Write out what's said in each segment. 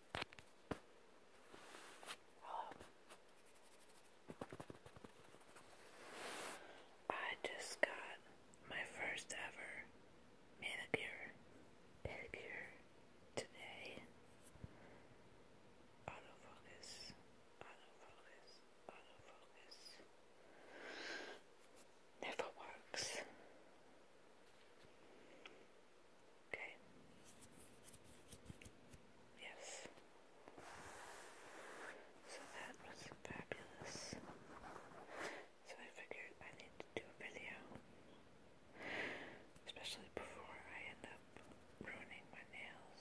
Hello. I just got my first ever manicure pedicure today. Never works. Okay. Yes. So that was fabulous. So I figured I need to do a video. Especially before I end up ruining my nails.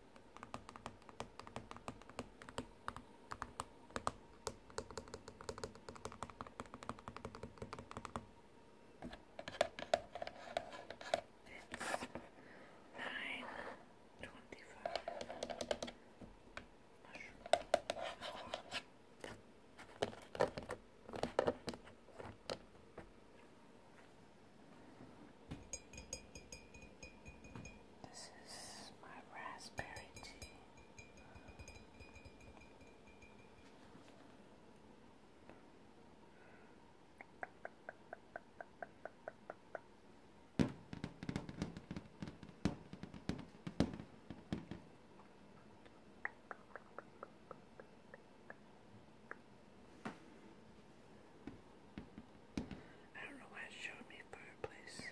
nine twenty-five. Mushroom. This is my raspberry tea. I don't know why it showed me fireplace.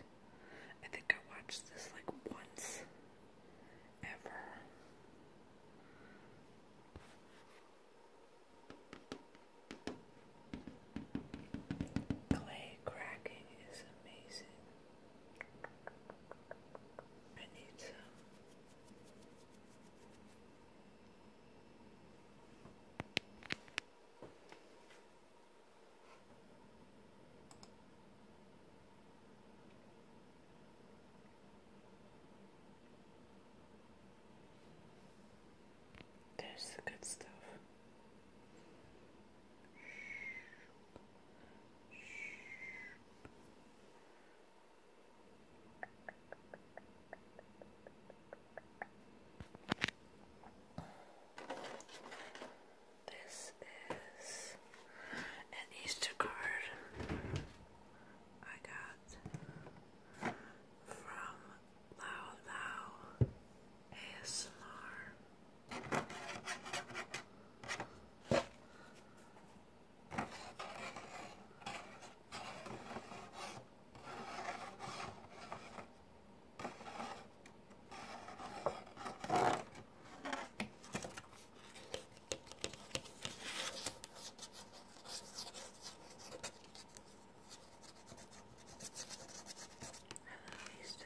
I think I watched this like once ever. Clay cracking is amazing. I need some. There's the good stuff. This is an Easter card I got from Lao Lao ASMR these two.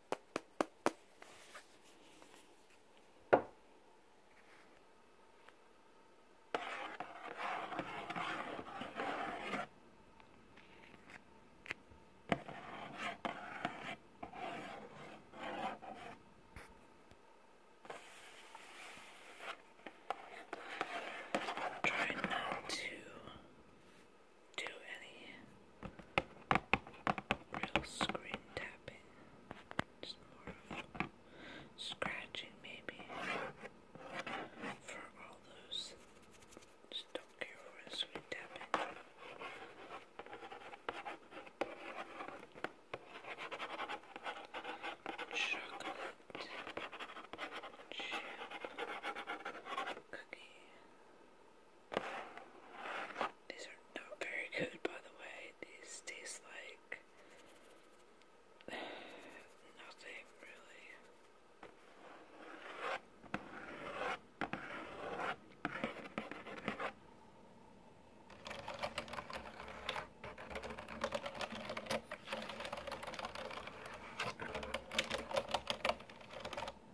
Try not to do any real screen tapping. Just more of scratching, maybe. For all those, just don't care for screen tapping. Chocolate chip cookie. These are not very good, by the way. These taste like nothing really.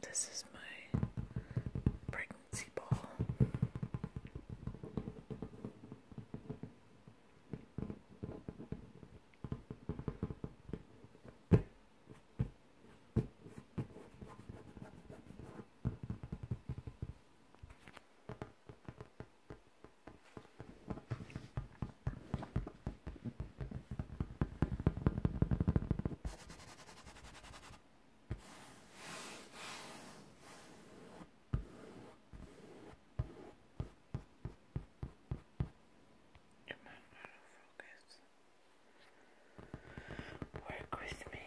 This is my pregnancy ball. Come on, out of focus. Work with me.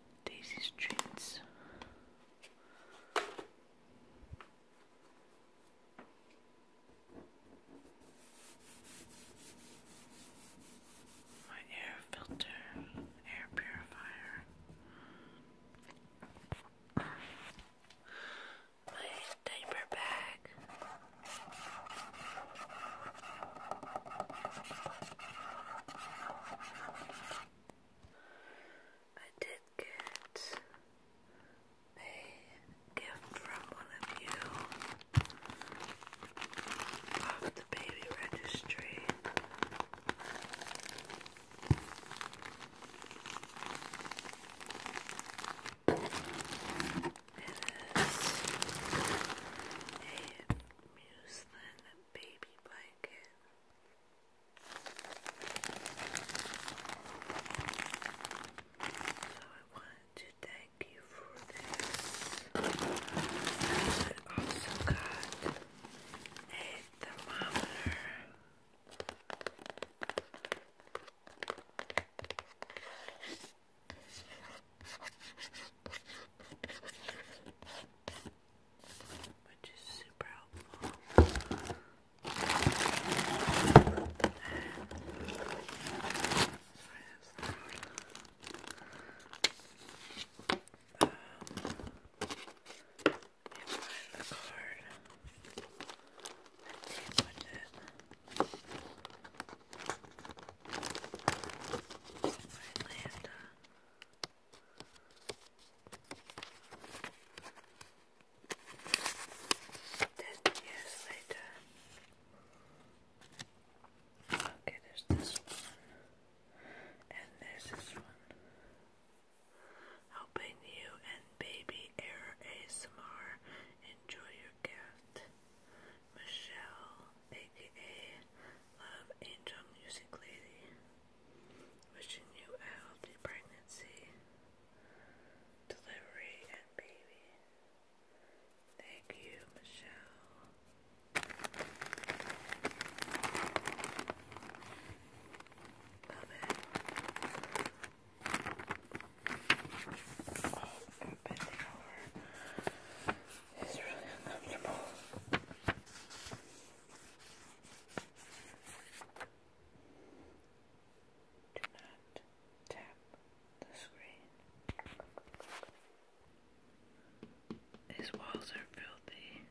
Daisy Streets. My air filter, air purifier. My diaper bag. I did get a gift from one of you of the baby registry. It is a music baby blanket. So I wanted to thank you for this. I also got a thermometer which is super helpful. Um, and card. I think Atlanta. Ten years later. Okay, there's this one. And there's this one. Helping you and baby Air ASMR enjoy your gift. Michelle, aka Love Angel Music Lady, wishing you a healthy pregnancy, delivery, and baby. Thank you, Michelle. Love it. Oh, and bending is really uncomfortable. Do not tap the screen. His walls are filthy.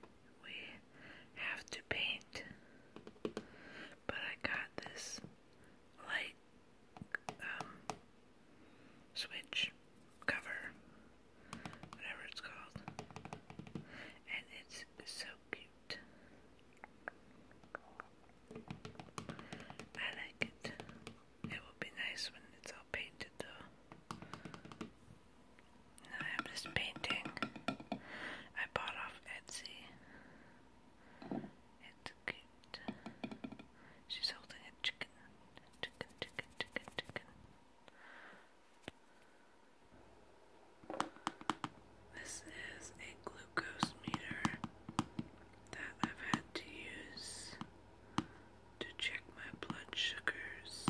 We have to paint. But I got this light um, switch cover, whatever it's called, and it's so cute. I like it. It will be nice when it's all painted, though. I have this painting I bought off Etsy. It's cute. She's holding a chicken. Chicken, chicken, chicken, chicken. This is a glucose meter that I've had to use to check my blood sugars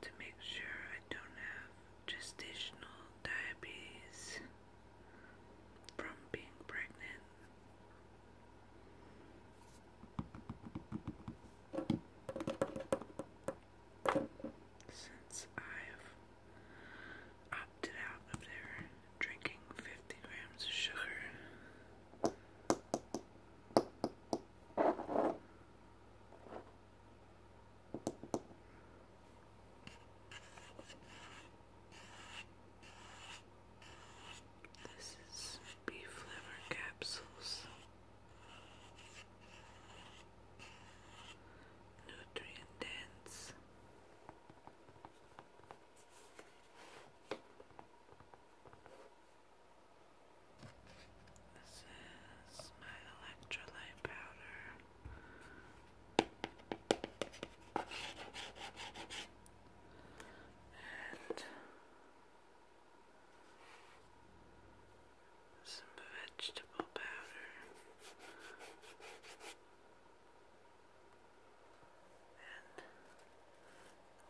to make sure I don't have gestational diabetes from being pregnant since I've opted out of their drinking 50 grams of sugar. This is beef liver capsules. Nutrient dense. This is my electrolyte powder and some vegetable powder and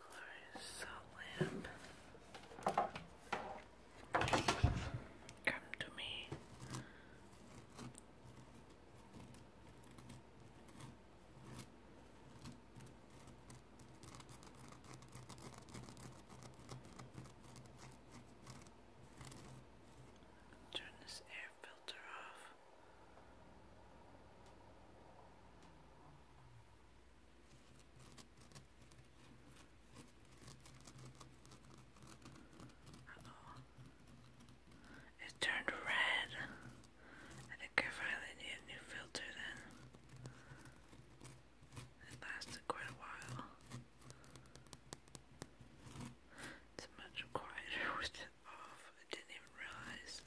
glorious salt lamp come to me Turn this air filter off. It turned red. I think I finally need a new filter then. It lasted quite a while. It's much quieter with it off. I didn't even realize.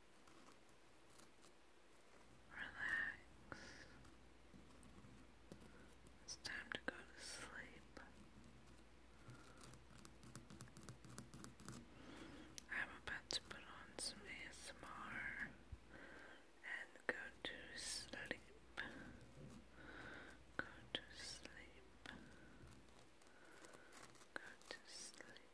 Relax. It's time to go to sleep. I'm about to put on some ASMR and go to sleep. Go to sleep. Go to sleep.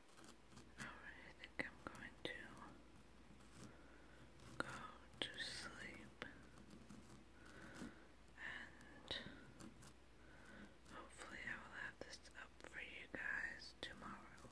Alright, I think I'm going to go to sleep and hopefully I will have this up for you guys tomorrow.